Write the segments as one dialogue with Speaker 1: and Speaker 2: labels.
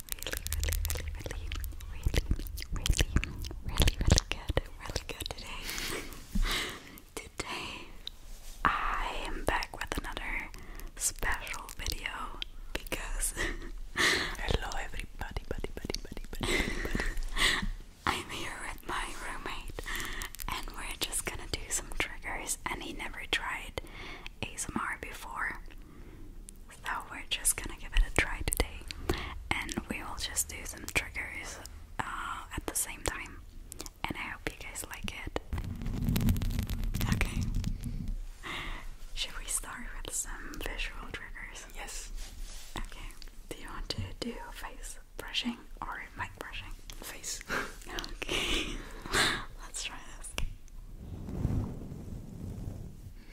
Speaker 1: really, really, really, really, really, really, really good, really good today. today, I am back with another special video because hello everybody, buddy, buddy, buddy, buddy, buddy. I'm here with my roommate, and we're just gonna do some triggers. And he never tried ASMR before, so we're just gonna give it a try today, and we will just do some triggers uh, at the same time. And I hope you guys like it. Okay. Should we start with some visual triggers? Yes. Okay. Do you want to do face brushing or mic brushing? Face. okay. Let's try this.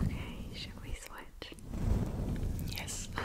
Speaker 1: Okay, should we switch? Yes. Okay.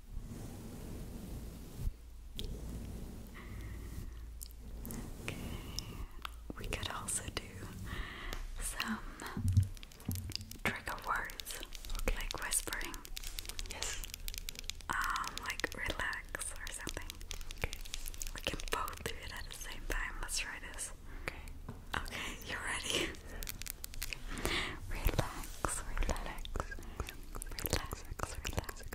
Speaker 1: Okay, we could also do some trigger words, like whispering. Yes. Um, like relax or something. Okay. We can both do it at the same time. Let's try this. Okay. Okay, you ready? relax, relax, relax, relax,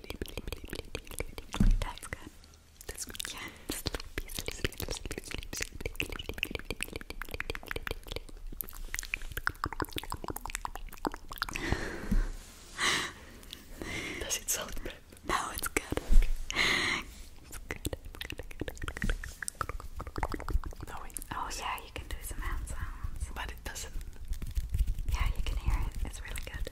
Speaker 1: That's good. That's good. Yeah. Sleepy, No, it's good. Oh yeah, you can do some hand sounds it doesn't. Yeah, you can hear it. It's really good.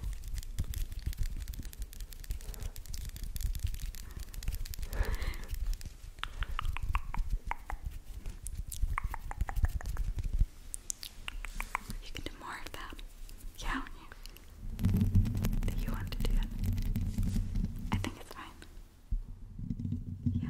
Speaker 1: You can do more of that. Yeah, you do you want to do it? I think it's fine. Yeah.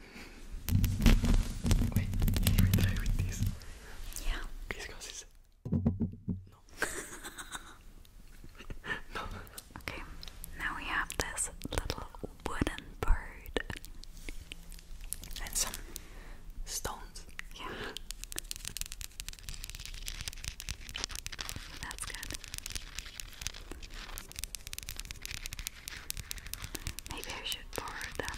Speaker 1: Wait, can we try with this? Yeah. Crisscross is. No. no. Okay, now we have this little wooden bird. And some stones. Yeah. That's good. Maybe I should borrow them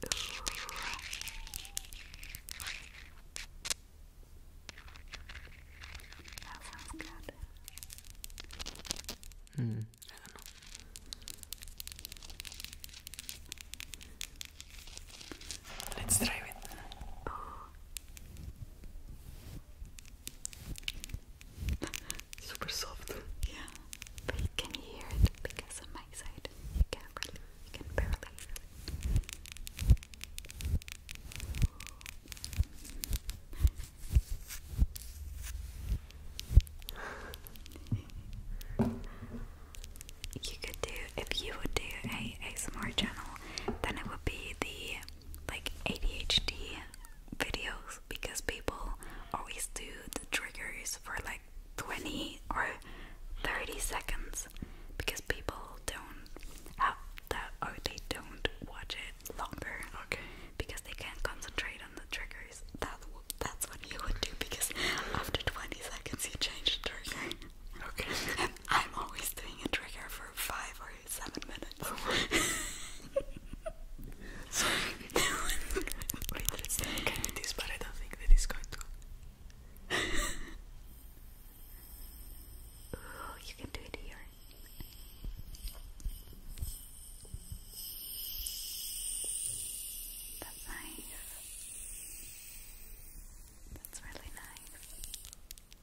Speaker 1: That sounds good. Hmm, Let's try it. Oh. Super soft. Yeah. But you can hear it because on my side you can really, can barely You could do if you would do a ASMR channel, then it would be the like ADHD videos because people always do the triggers for like 20 or 30 seconds because people don't have that or they don't watch it longer okay. because they can't concentrate on the triggers. That that's what you would do because after 20 seconds you change trigger. Okay. I'm always doing a trigger for 5 or seven minutes. Sorry. We're interested in this, but I don't think that is going to. oh, you can do it here. That's nice. That's really nice.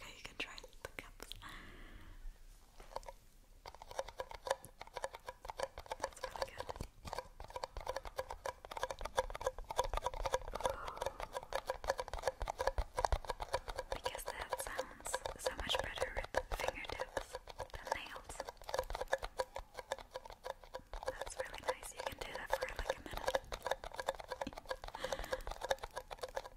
Speaker 1: Okay, you can try the cups. That's really good. Because that sounds so much better with fingertips than nails. That's really nice. You can do that for like a minute.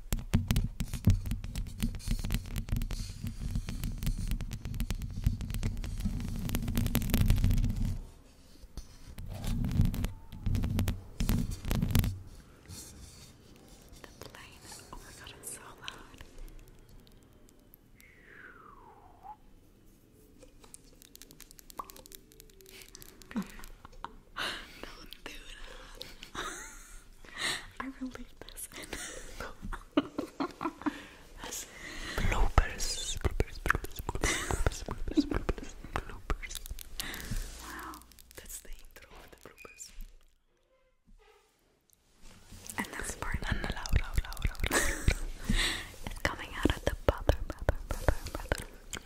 Speaker 1: The plane. Oh my god, it's so loud. Oh my don't do that. I will leave this in. That's bloopers. Bloopers, bloopers, bloopers, Wow, that's the intro of the bloopers. And that's part. And coming out of the bother,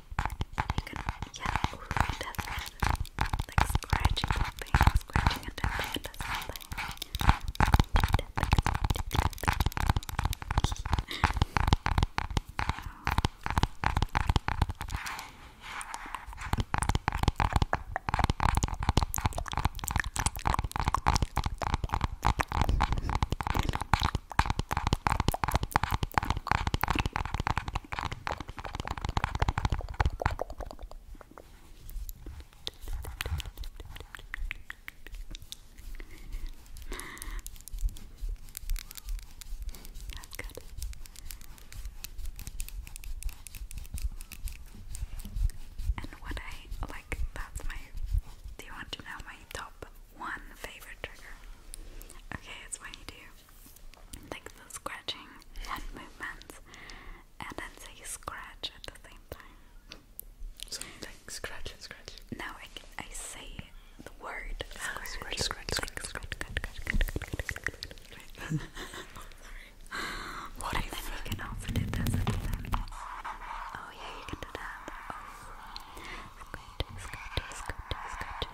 Speaker 1: You can, yeah, ooh, that's good. Like scratching something, scratching and tapping into something. That's good. And what I like, that's my. Do you want to know my top one favorite trigger? Okay, it's when you do like the scratching hand movements and then say scratch at the same time. So like scratch and scratch. No, I, I say the word scratch. Scratch, scratch, scratch, scratch, scratch, What and if? Then you can also do this at the same time. Oh yeah, you can do that. Oh. Scratch, scratch, scratch, scratch,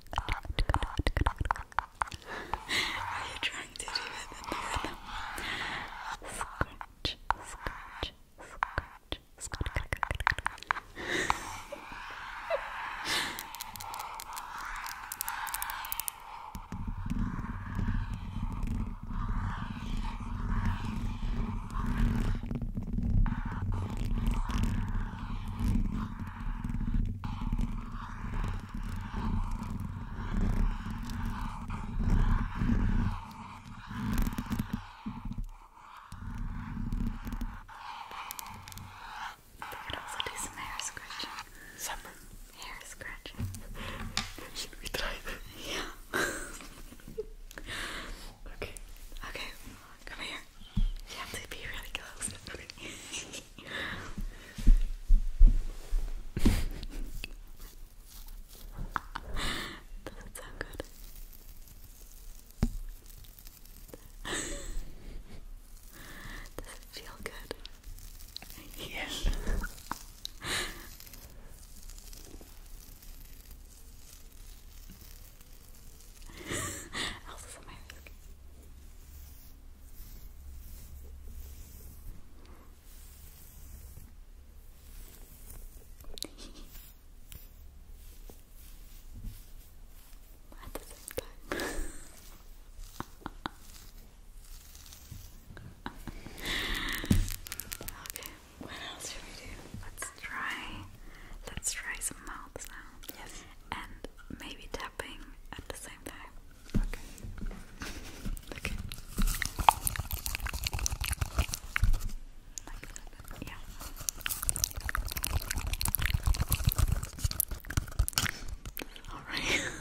Speaker 1: Are you trying to do it in the rhythm? Scratch, scratch, scratch, scratch. We could also do some hair scratching. Some hair scratching. Should we try that? Yeah. okay. Okay. Come here. Yeah, they'd be really close. Doesn't sound good. Does it feel good? Yes. Elsa's a mask. At the same time. okay, what else should we do? Let's try let's try some mouth sounds. Yes. And maybe tell at the same time. Okay. yeah. All right.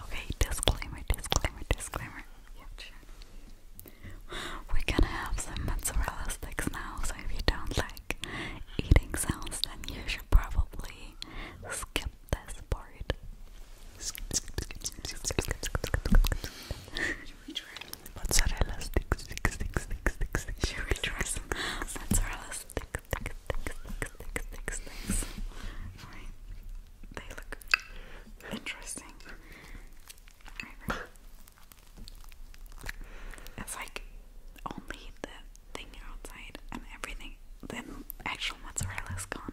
Speaker 1: Okay, disclaimer, disclaimer, disclaimer. We're gonna have some mozzarella sticks now, so if you don't like eating sounds, then you should probably skip this part. Should we try mozzarella sticks, sticks, sticks, sticks, Should we try some mozzarella sticks, sticks, sticks, sticks, sticks, sticks? Right, they look interesting. It's like only the thing outside and everything. Then actual mozzarella is gone.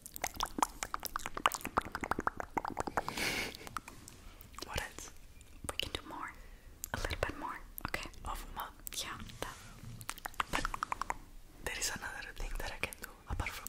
Speaker 1: What else? We can do more. A little bit more. Okay. Of mud? Yeah. But there is another thing that I can do apart from.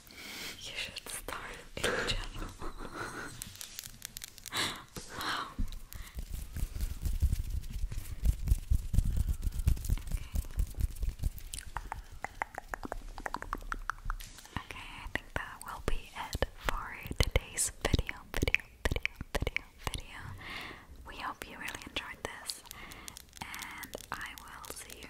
Speaker 1: You should start a channel. Okay, I think that will be it for today's video, video, video, video, video. We hope you really enjoyed this, and I will see you